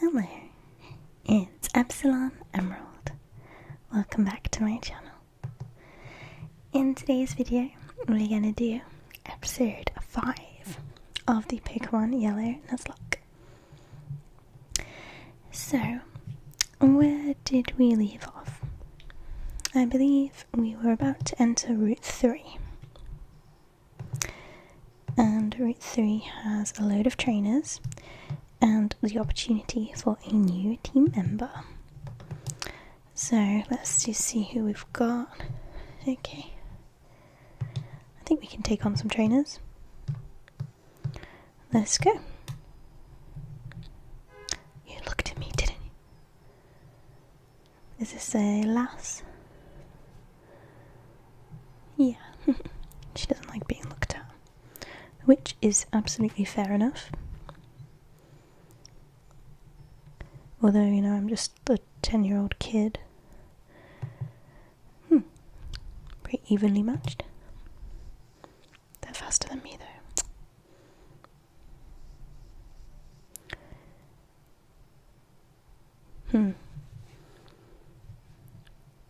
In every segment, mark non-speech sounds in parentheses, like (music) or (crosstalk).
Hello, it's Epsilon Emerald. Welcome back to my channel. In today's video, we're gonna do episode 5 of the Pick One Yellow Nuzlocke. So, where did we leave off? I believe we were about to enter Route 3. And Route 3 has a load of trainers and the opportunity for a new team member. So let's just see who we've got. Okay. I think we can take on some trainers. Let's go. You looked at me, didn't you? Is this a lass? Yeah, (laughs) she doesn't like being looked at. Which is absolutely fair enough. Although, you know, I'm just a 10 year old kid. Hmm. Pretty evenly matched. They're faster than me, though. Hmm.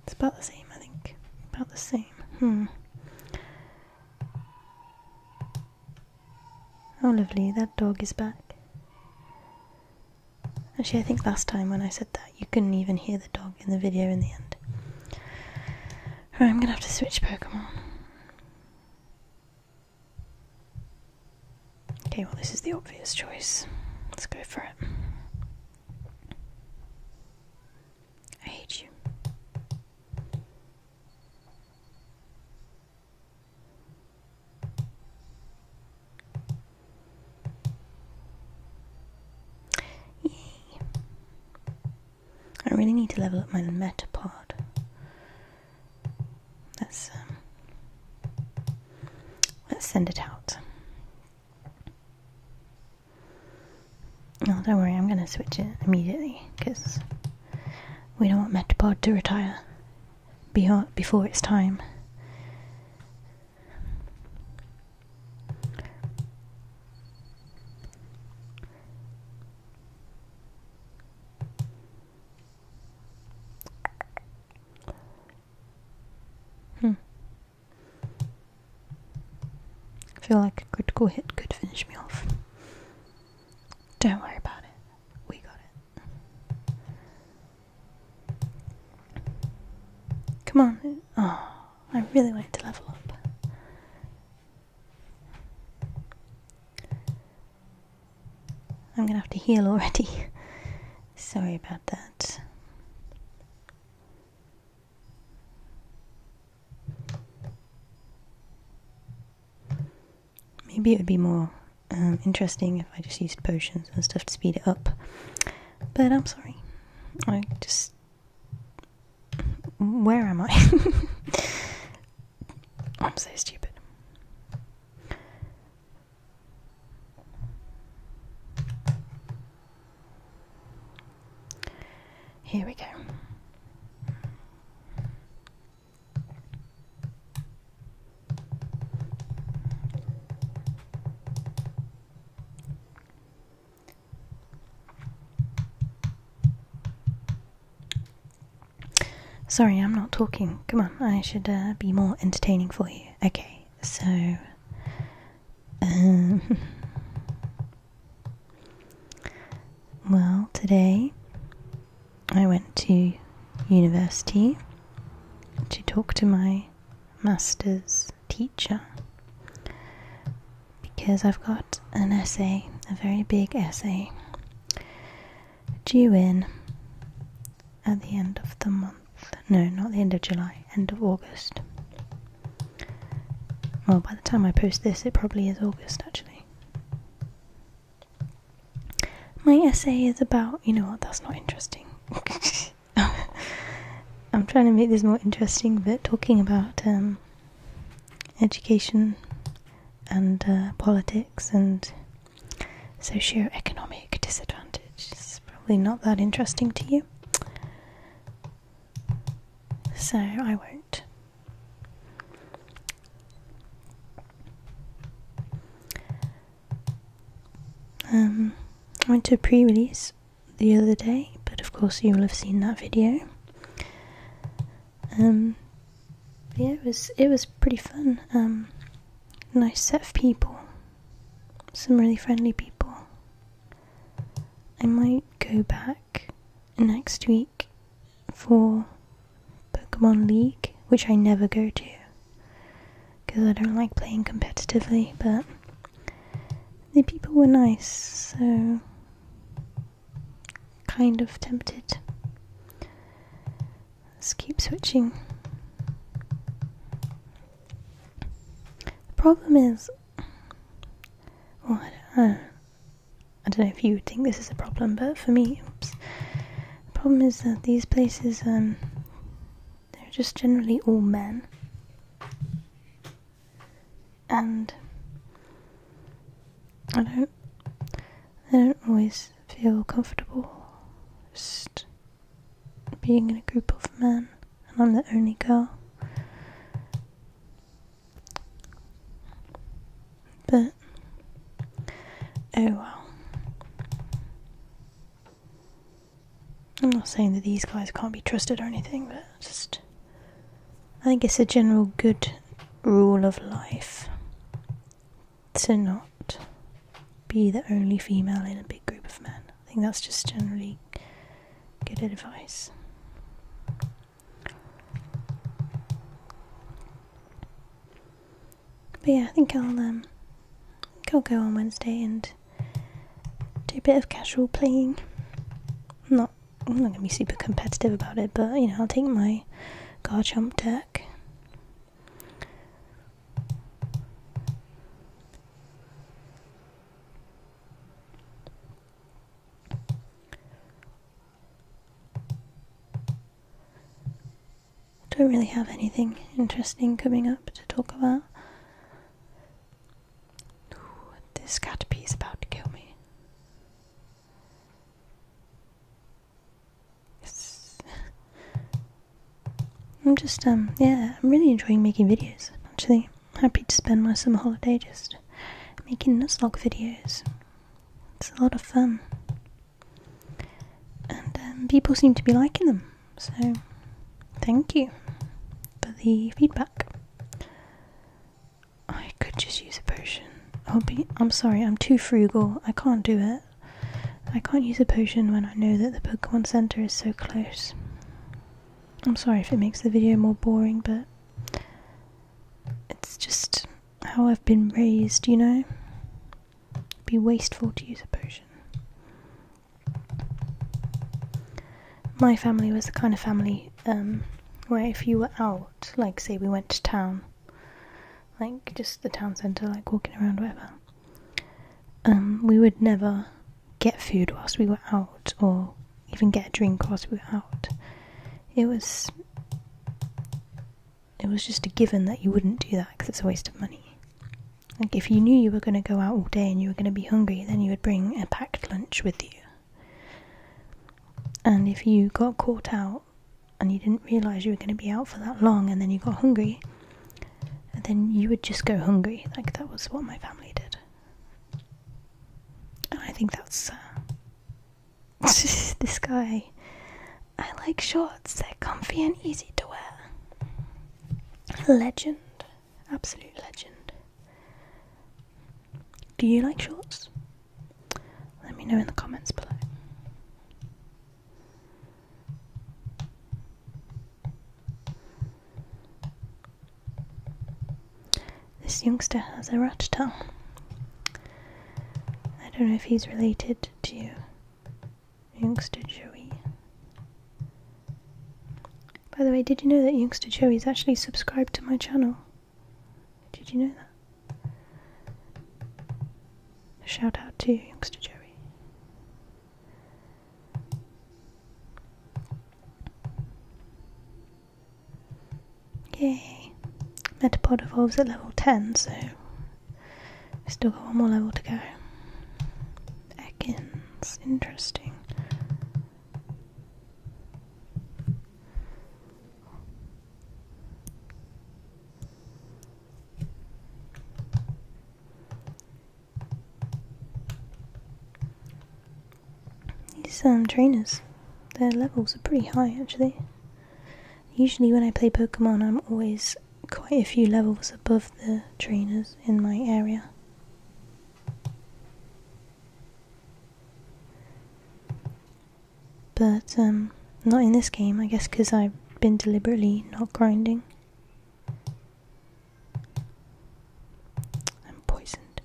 It's about the same, I think. About the same. Hmm. Oh, lovely. That dog is back. Actually, I think last time when I said that, you couldn't even hear the dog in the video in the end. Right, I'm gonna have to switch Pokemon. Okay, well, this is the obvious choice. Let's go for it. I hate you. Yay. I really need to level up my Metapod. Let's um, let's send it out don't worry, I'm going to switch it immediately because we don't want Metapod to retire before it's time. Hmm. I feel like a critical hit could finish me off. Don't worry about it. We got it. Come on. Oh, I really wanted to level up. I'm gonna have to heal already. (laughs) Sorry about that. Maybe it would be more um, interesting if I just used potions and stuff to speed it up. But I'm sorry. I just. Where am I? (laughs) I'm so stupid. Here we go. Sorry, I'm not talking. Come on, I should uh, be more entertaining for you. Okay so um, (laughs) well today I went to university to talk to my master's teacher because I've got an essay, a very big essay, due in at the end of the month. No, not the end of July, end of August. Well, by the time I post this, it probably is August actually. My essay is about, you know what, that's not interesting. (laughs) I'm trying to make this more interesting, but talking about um, education and uh, politics and socio-economic disadvantage it's probably not that interesting to you. So I won't. Um, I went to pre release the other day, but of course, you will have seen that video. Um, yeah, it was it was pretty fun. Um, nice set of people, some really friendly people. I might go back next week for Pokemon League, which I never go to because I don't like playing competitively, but the people were nice, so kind of tempted. Let's keep switching. The problem is, well, I don't, know. I don't know if you would think this is a problem, but for me, the problem is that these places, um, they're just generally all men, and I don't, I don't always feel comfortable just being in a group of men, and I'm the only girl. But, oh well. I'm not saying that these guys can't be trusted or anything, but just. I think it's a general good rule of life to not be the only female in a big group of men. I think that's just generally good advice. But yeah, I think I'll um, go on Wednesday and do a bit of casual playing. I'm not I'm not gonna be super competitive about it, but you know I'll take my Garchomp deck don't really have anything interesting coming up to talk about. Ooh, this is about to kill me. It's I'm just, um, yeah, I'm really enjoying making videos, actually. Happy to spend my summer holiday just making Nuzlocke videos. It's a lot of fun. And um, people seem to be liking them, so thank you for the feedback. I could just use a potion. I'll be, I'm sorry, I'm too frugal. I can't do it. I can't use a potion when I know that the Pokemon Center is so close. I'm sorry if it makes the video more boring, but it's just how I've been raised, you know? be wasteful to use a potion. My family was the kind of family um, where if you were out, like say we went to town, like just the town centre, like walking around, whatever, um, we would never get food whilst we were out, or even get a drink whilst we were out. It was it was just a given that you wouldn't do that because it's a waste of money. Like if you knew you were going to go out all day and you were going to be hungry, then you would bring a packed lunch with you. And if you got caught out and you didn't realize you were going to be out for that long and then you got hungry, and then you would just go hungry. Like that was what my family did, and I think that's uh, (laughs) this guy. I like shorts; they're comfy and easy to wear. Legend, absolute legend. Do you like shorts? Let me know in the comments below. This youngster has a rat tongue. I don't know if he's related to youngster Joey. By the way, did you know that youngster Joey is actually subscribed to my channel? Did you know that? shout out to youngster Joey. Yay. Metapod evolves at level 10, so we still got one more level to go. Ekins, interesting. These um, trainers, their levels are pretty high actually. Usually, when I play Pokemon, I'm always quite a few levels above the trainers in my area. But um, not in this game, I guess, because I've been deliberately not grinding. I'm poisoned.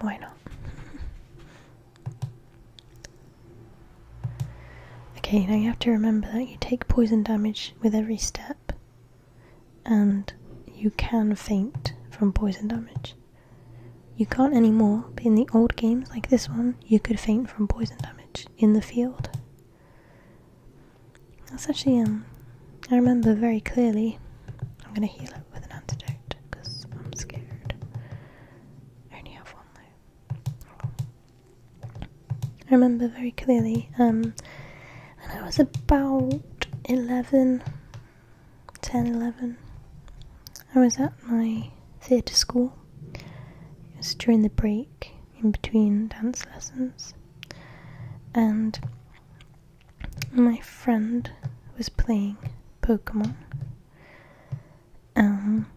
Why not? okay, now you have to remember that you take poison damage with every step, and you can faint from poison damage. You can't anymore, in the old games like this one, you could faint from poison damage in the field. That's actually, um, I remember very clearly. I'm gonna heal it with an antidote because I'm scared. I only have one though. I remember very clearly, um, and I was about 11, 10, 11. I was at my theatre school. It was during the break, in between dance lessons, and my friend was playing Pokemon. Um,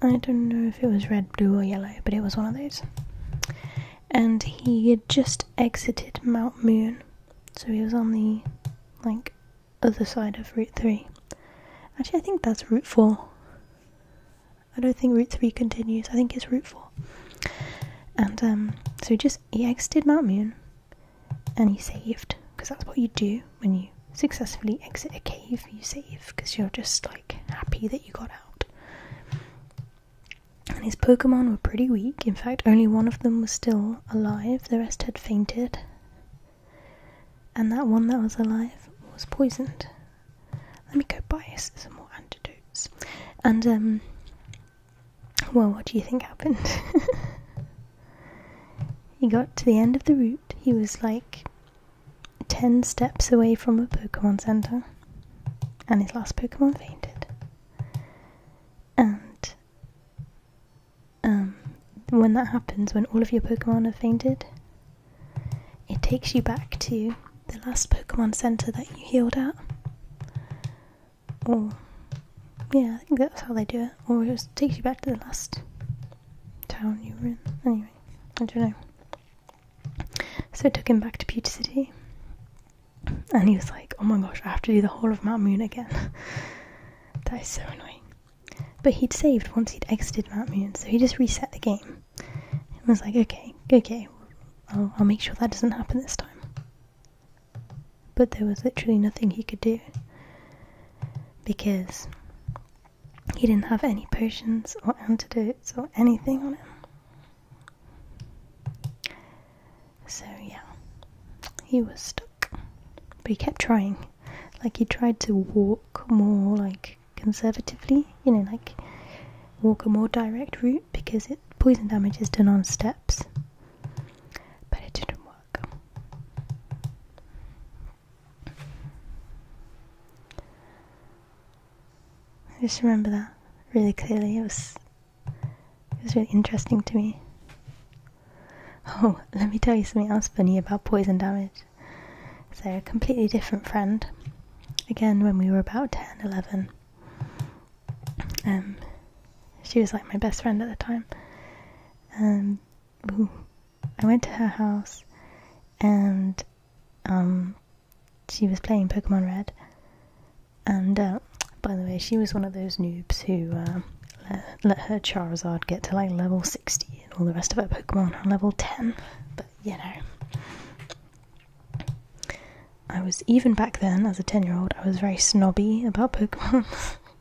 I don't know if it was red, blue, or yellow, but it was one of these. And he had just exited Mount Moon, so he was on the like other side of Route Three. Actually, I think that's Route Four. I don't think Route 3 continues. I think it's Route 4. And um, so he just he exited Mount Moon and he saved because that's what you do when you successfully exit a cave. You save because you're just like happy that you got out. And his Pokemon were pretty weak. In fact, only one of them was still alive. The rest had fainted. And that one that was alive was poisoned. Let me go buy some more antidotes. And, um, well, what do you think happened? (laughs) he got to the end of the route. He was like 10 steps away from a Pokemon Center. And his last Pokemon fainted. And, um, when that happens, when all of your Pokemon have fainted, it takes you back to the last Pokemon Center that you healed at. Or, yeah, I think that's how they do it. Or it takes you back to the last town you were in. Anyway, I don't know. So I took him back to Pewter City. And he was like, oh my gosh, I have to do the whole of Mount Moon again. (laughs) that is so annoying. But he'd saved once he'd exited Mount Moon, so he just reset the game. It was like, okay, okay, I'll make sure that doesn't happen this time. But there was literally nothing he could do because he didn't have any potions or antidotes or anything on him. So, yeah, he was stuck. But he kept trying. Like, he tried to walk more, like, conservatively, you know, like walk a more direct route because poison damage is done on steps. But it didn't work. I just remember that really clearly. It was it was really interesting to me. Oh, let me tell you something else funny about poison damage. So, a completely different friend again when we were about 10, 11. Um, she was like my best friend at the time. Um, I went to her house and um, she was playing Pokemon Red. And uh, by the way, she was one of those noobs who uh, let, her Charizard get to like level 60 and all the rest of her Pokemon on level 10. But you know, I was even back then as a 10 year old, I was very snobby about Pokemon.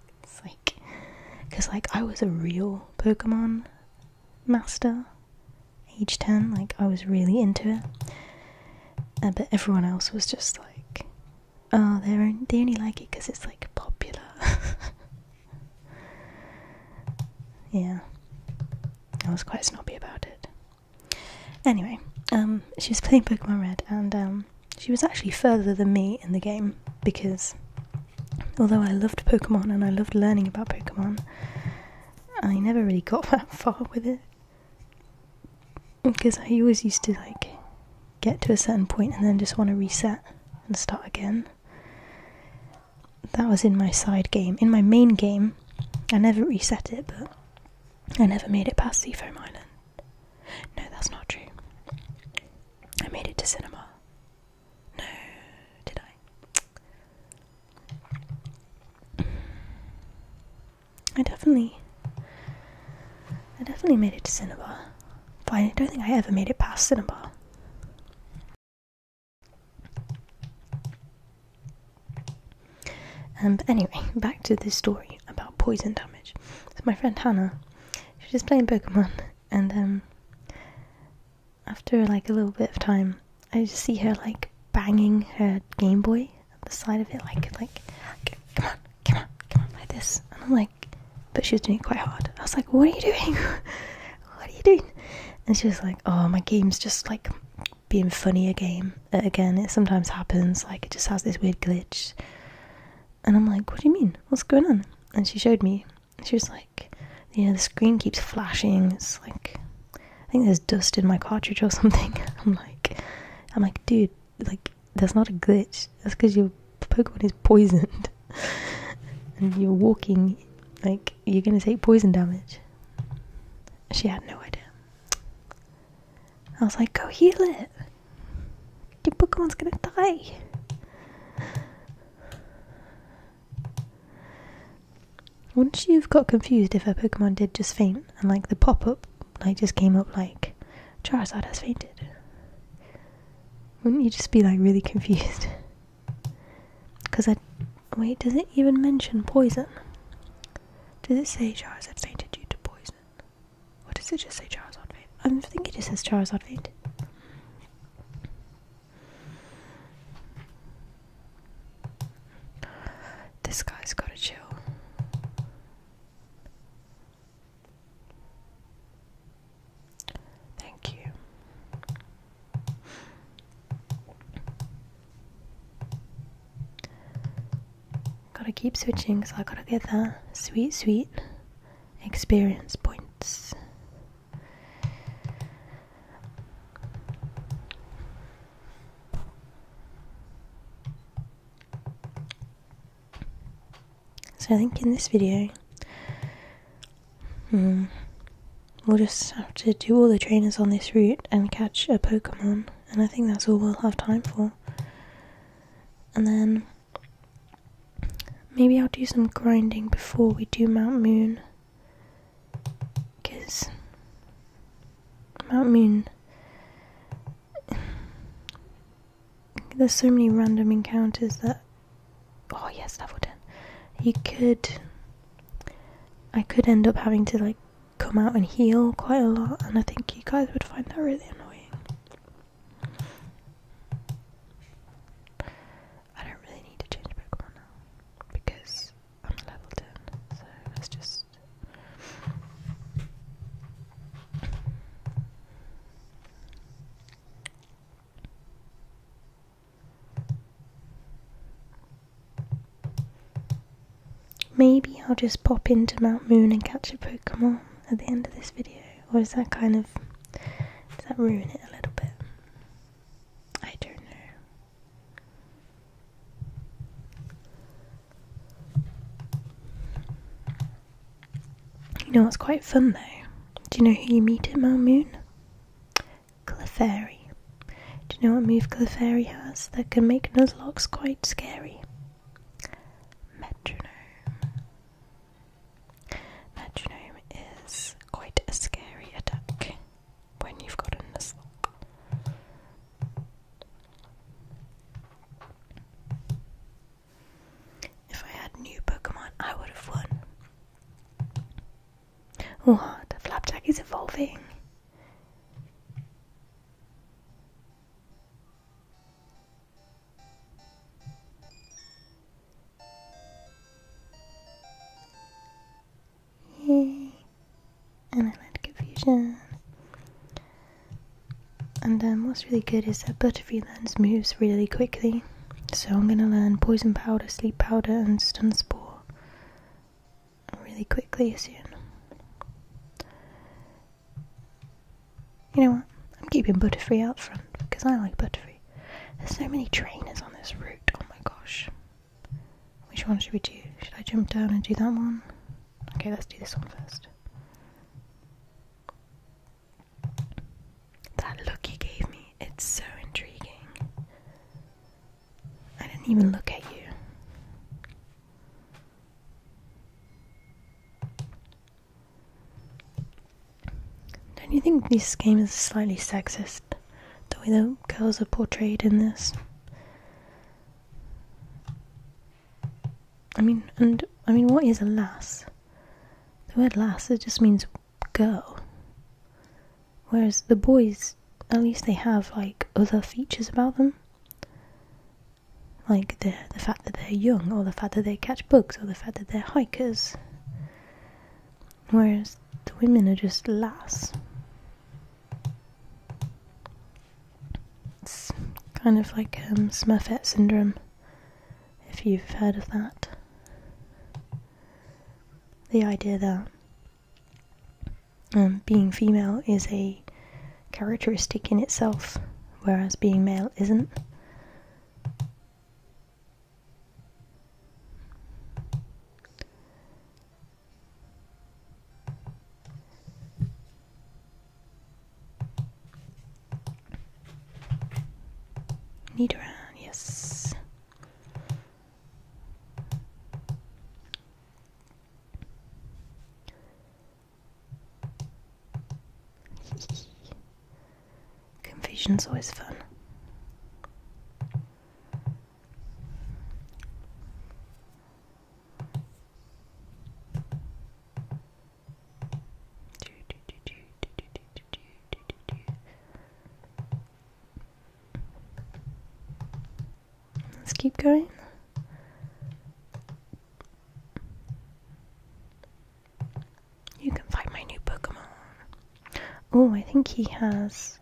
(laughs) like, because like I was a real Pokemon master, age 10, like I was really into it. Uh, but everyone else was just like, oh, they only like it because it's like popular. (laughs) yeah, I was quite snobby about it. Anyway, um, she was playing Pokemon Red, and um, she was actually further than me in the game because although I loved Pokemon and I loved learning about Pokemon, I never really got (laughs) that far with it because I always used to like get to a certain point and then just want to reset and start again that was in my side game. In my main game, I never reset it, but I never made it past Seafoam Island. No, that's not true. I made it to cinema. No, did I? I definitely, I definitely made it to cinema, but I don't think I ever made it past cinema but anyway, (laughs) back to this story about poison damage. So my friend Hannah, she was playing Pokemon, and um, after like a little bit of time, I just see her like banging her Game Boy at the side of it, like like, come on, come on, come on, like this. And I'm like, but she was doing it quite hard. I was like, what are you doing? (laughs) what are you doing? And she was like, oh, my game's just like being funny again uh, again it sometimes happens like it just has this weird glitch and i'm like what do you mean what's going on and she showed me she was like you know the screen keeps flashing it's like i think there's dust in my cartridge or (laughs) something i'm like i'm like dude like that's not a glitch that's because your pokemon is poisoned (laughs) and you're walking like you're gonna take poison damage she had no idea. I was like, go heal it. Your Pokemon's gonna die. Once you've got confused if a Pokemon did just faint and like the pop up like just came up like Charizard has fainted. Wouldn't you just be like really confused? Because I Wait, does it even mention poison? Does it say Charles had fainted due to poison? What does it just say Charizard faint? I am thinking it just says Charizard faint. This guy's got a chill. Thank you. Gotta keep switching so I gotta get that sweet, sweet experience points. So I think in this video, hmm, We'll just have to do all the trainers on this route and catch a Pokemon, and I think that's all we'll have time for. And then maybe I'll do some grinding before we do Mount Moon, because Mount Moon. There's so many random encounters that. Oh yes, level 10. You could I could end up having to like come out and heal quite a lot, and I think you guys would find that really annoying. I don't really need to change Pokemon now because I'm level 10, so let just. Maybe I'll just pop into Mount Moon and catch a Pokemon at the end of this video. Or is that kind of. Does that ruin it a little bit? I don't know. You know it's quite fun though? Do you know who you meet in Mount Moon? Clefairy. Do you know what move Clefairy has that can make Nuzlocke quite scary? Metronome. Metronome is quite a scary attack when you've got Nuzlocke. If I had new Pokemon, I would have won. What? Flapjack is evolving. Yay. And I land confusion. And um, what's really good is that butterfly learns moves really quickly. So I'm gonna learn Poison Powder, Sleep Powder, and Stun Spore really quickly soon. You know what? I'm keeping Butterfree out front because I like Butterfree. There's so many trainers on this route. Oh my gosh. Which one should we do? Should I jump down and do that one? Okay, let's do this one first. That look he gave me, it's so intriguing. I didn't even look at you. Don't you think this game is slightly sexist? The way the girls are portrayed in this? I mean, and I mean, what is a lass? The word lass, it just means girl. Whereas the boys, at least they have like other features about them, like the the fact that they're young, or the fact that they catch bugs, or the fact that they're hikers. Whereas the women are just lass. It's kind of like um, Smurfette syndrome, if you've heard of that. The idea that um, being female is a characteristic in itself, whereas being male isn't. Nidoran, yes. Confusion's always fun. Let's keep going. You can find my new Pokemon. Oh, I think he has.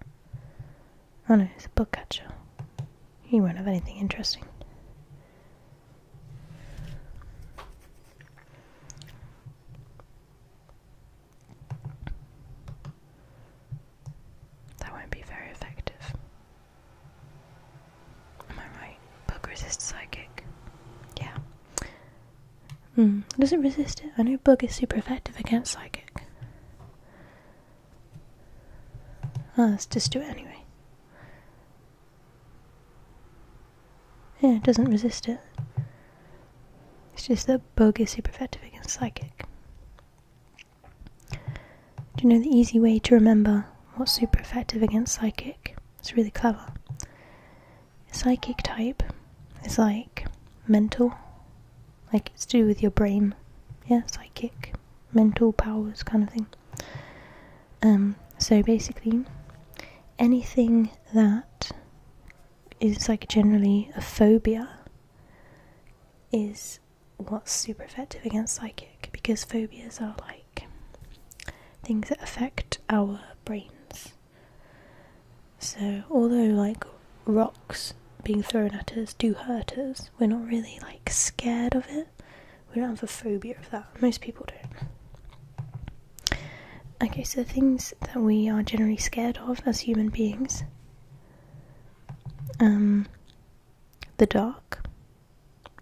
Oh no, he's a book catcher. He won't have anything interesting. That won't be very effective. Am I right? Bug resists psychic. Yeah. Hmm. Does not resist it? I know bug is super effective against psychic. Oh, let's just do it anyway. Yeah, it doesn't resist it. It's just that bug is super effective against psychic. Do you know the easy way to remember what's super effective against psychic? It's really clever. Psychic type is like mental, like it's to do with your brain, yeah, psychic, mental powers kind of thing. Um, so basically, anything that is like generally a phobia is what's super effective against psychic because phobias are like things that affect our brains. So, although like rocks being thrown at us do hurt us, we're not really like scared of it. We don't have a phobia of that. Most people don't. Okay, so the things that we are generally scared of as human beings um, the dark.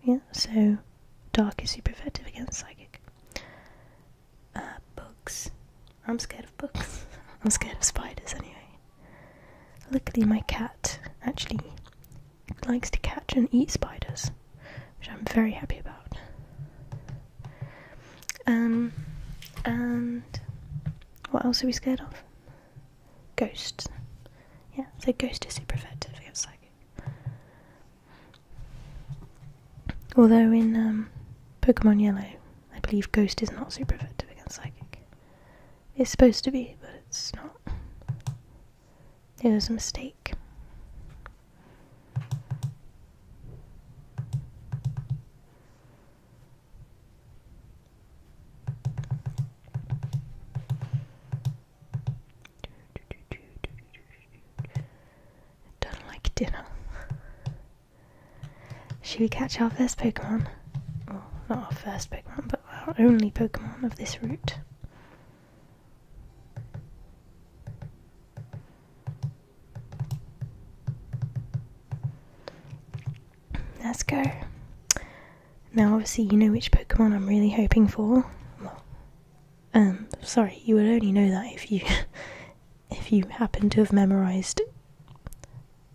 Yeah, so dark is super effective against psychic. Uh, books. I'm scared of books. (laughs) I'm scared of spiders anyway. Luckily, my cat actually likes to catch and eat spiders, which I'm very happy about. Um, and what else are we scared of? Ghost. Yeah, so ghost is super effective against psychic. Although in um, Pokemon Yellow, I believe ghost is not super effective against psychic. It's supposed to be, but it's not. It was a mistake. Don't like dinner. Should we catch our first Pokemon? not our first Pokemon, but our only Pokemon of this route. Let's go. Now, obviously, you know which Pokemon I'm really hoping for. um, sorry, you would only know that if you (laughs) if you happen to have memorised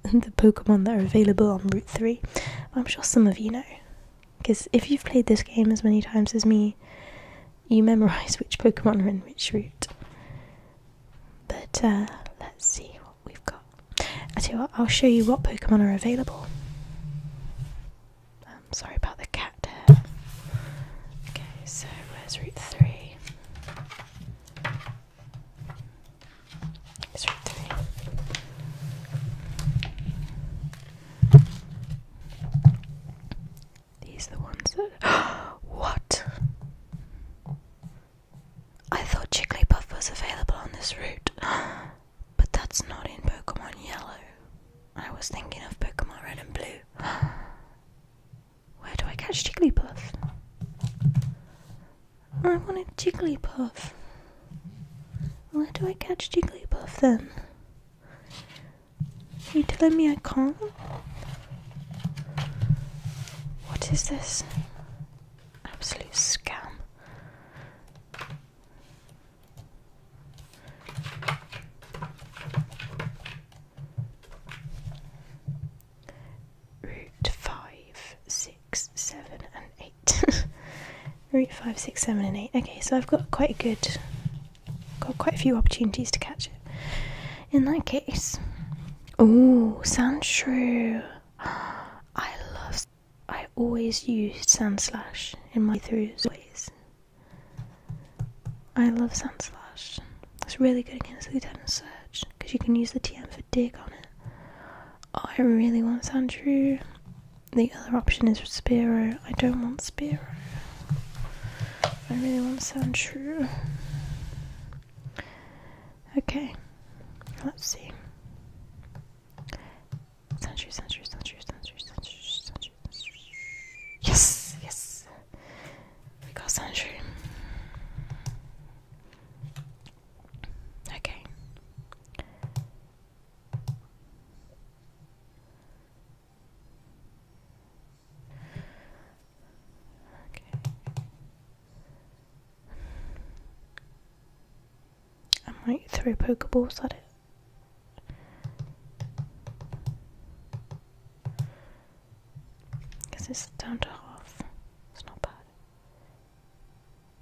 the Pokemon that are available on Route Three. I'm sure some of you know, because if you've played this game as many times as me, you memorise which Pokemon are in which route. But uh, let's see we've got. I will show you what Pokemon are available. Um, sorry about the cat there. Okay, so where's Route 3? Route 3. These are the ones that. (gasps) what? I thought Jigglypuff was available on this route, (gasps) but that's not in Pokemon Yellow. I was thinking of Pokemon Red and Blue. (gasps) Where do I catch Jigglypuff? I want a Jigglypuff. Where do I catch Jigglypuff then? Are you telling me I can't? What is this? Absolute scam. Route five, six, seven, and eight. (laughs) Route five, six, seven, and eight. Okay, so I've got quite a good, got quite a few opportunities to catch it. In that case, oh, sounds true. I love. I always use used slash in my throughs ways. I love slash. It's really good against the item search because you can use the TM for dig on it. I really want true. The other option is Spiro. I don't want Spiro. I really want true. Okay, let's see. Century, century, century, century, century, century. Yes, yes. We got century. Okay. Okay. I might throw pokeballs at it. Because it's down to half. It's not bad.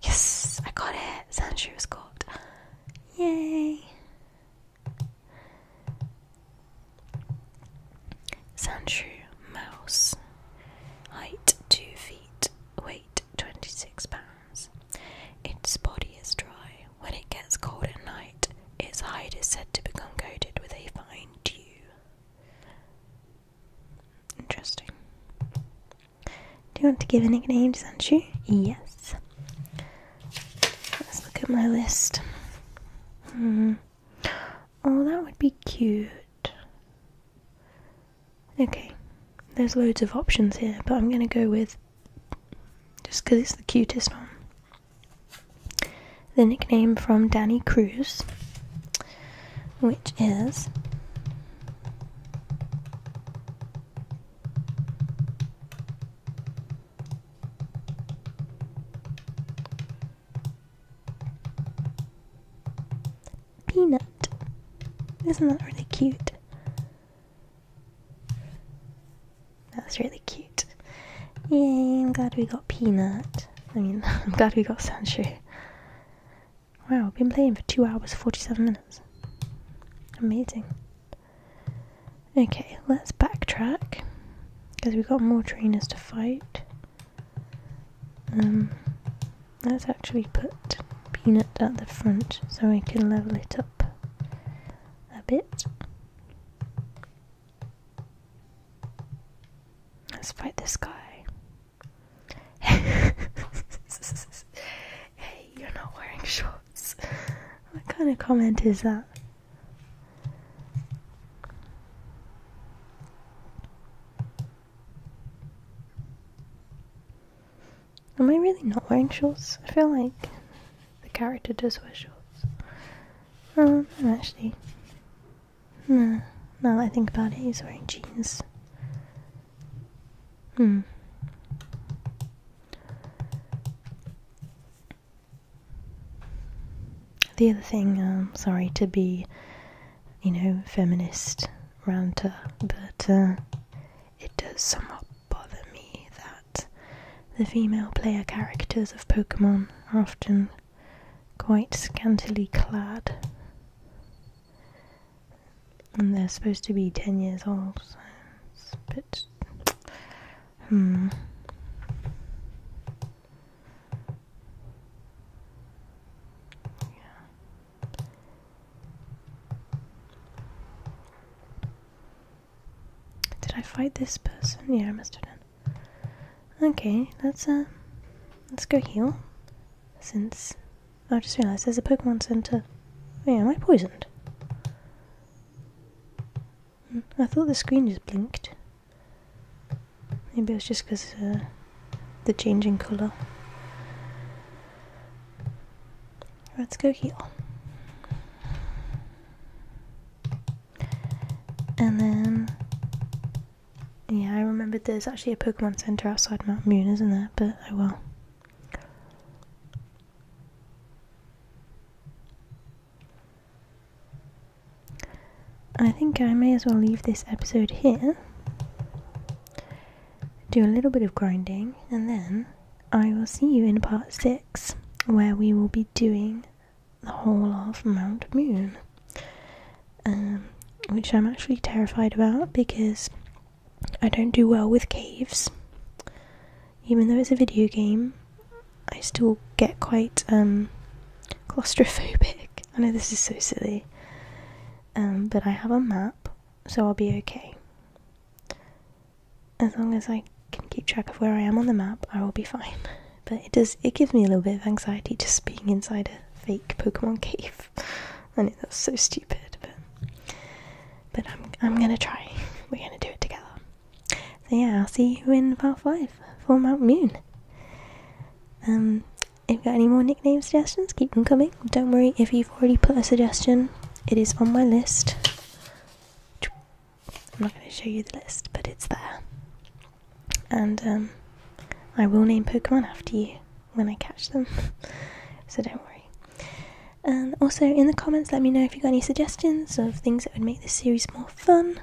Yes! I got it! Sandshrew has got. Yay! Sandshrew mouse. Height 2 feet weight 26 pounds. Its body is dry. When it gets cold at night, its hide is said to become coated with a fine dew. Interesting. Do you want to give a nickname to Sanchu? Yes. Let's look at my list. Hmm. Oh, that would be cute. Okay, there's loads of options here, but I'm going to go with just because it's the cutest one. The nickname from Danny Cruz, which is Peanut. Isn't that really cute? That's really cute. Yay, I'm glad we got Peanut. I mean, (laughs) I'm glad we got Sancho. Wow, I've been playing for 2 hours 47 minutes. Amazing. Okay, let's backtrack. Because we've got more trainers to fight. Um, let's actually put Peanut at the front so I can level it up a bit. Let's fight this guy. (laughs) hey, you're not wearing shorts. What kind of comment is that? Am I really not wearing shorts? I feel like the character does wear shorts. Um, actually, no, now I think about it, he's wearing jeans. Hmm. The other thing, um, sorry to be you know, feminist ranter, but uh, it does somewhat bother me that the female player characters of Pokemon are often quite scantily clad. And they're supposed to be 10 years old, so it's Hmm. Did I fight this person? Yeah, I must have done. Okay, let's uh let's go heal. Since oh, I just realized there's a Pokemon Center. Wait, oh am I poisoned? Hmm, I thought the screen just blinked. Maybe it was just because uh, the changing colour. Let's go here. And then, yeah, I remembered there's actually a Pokemon Center outside Mount Moon, isn't there? But I oh will. I think I may as well leave this episode here, do a little bit of grinding, and then I will see you in part 6 where we will be doing the whole of Mount Moon, um, which I'm actually terrified about because I don't do well with caves. Even though it's a video game, I still get quite um, claustrophobic. I know this is so silly. Um, but I have a map, so I'll be okay. As long as I can keep track of where I am on the map, I will be fine. (laughs) But it does, it gives me a little bit of anxiety just being inside a fake Pokemon (laughs) cave. I know that's so stupid, but, but I'm, I'm gonna try. (laughs) We're gonna do it together. So yeah, I'll see you in part 5 for Mount Moon. Um, if you've got any more nickname suggestions, keep them coming. Don't worry if you've already put a suggestion, it is on my list. I'm not going to show you the list, but it's there. And um, I will name Pokemon after you when I catch them, (laughs) so don't worry. And um, also in the comments, let me know if you've got any suggestions of things that would make this series more fun.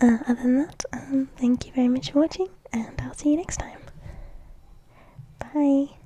Uh, other than that, um, thank you very much for watching, and I'll see you next time. Bye.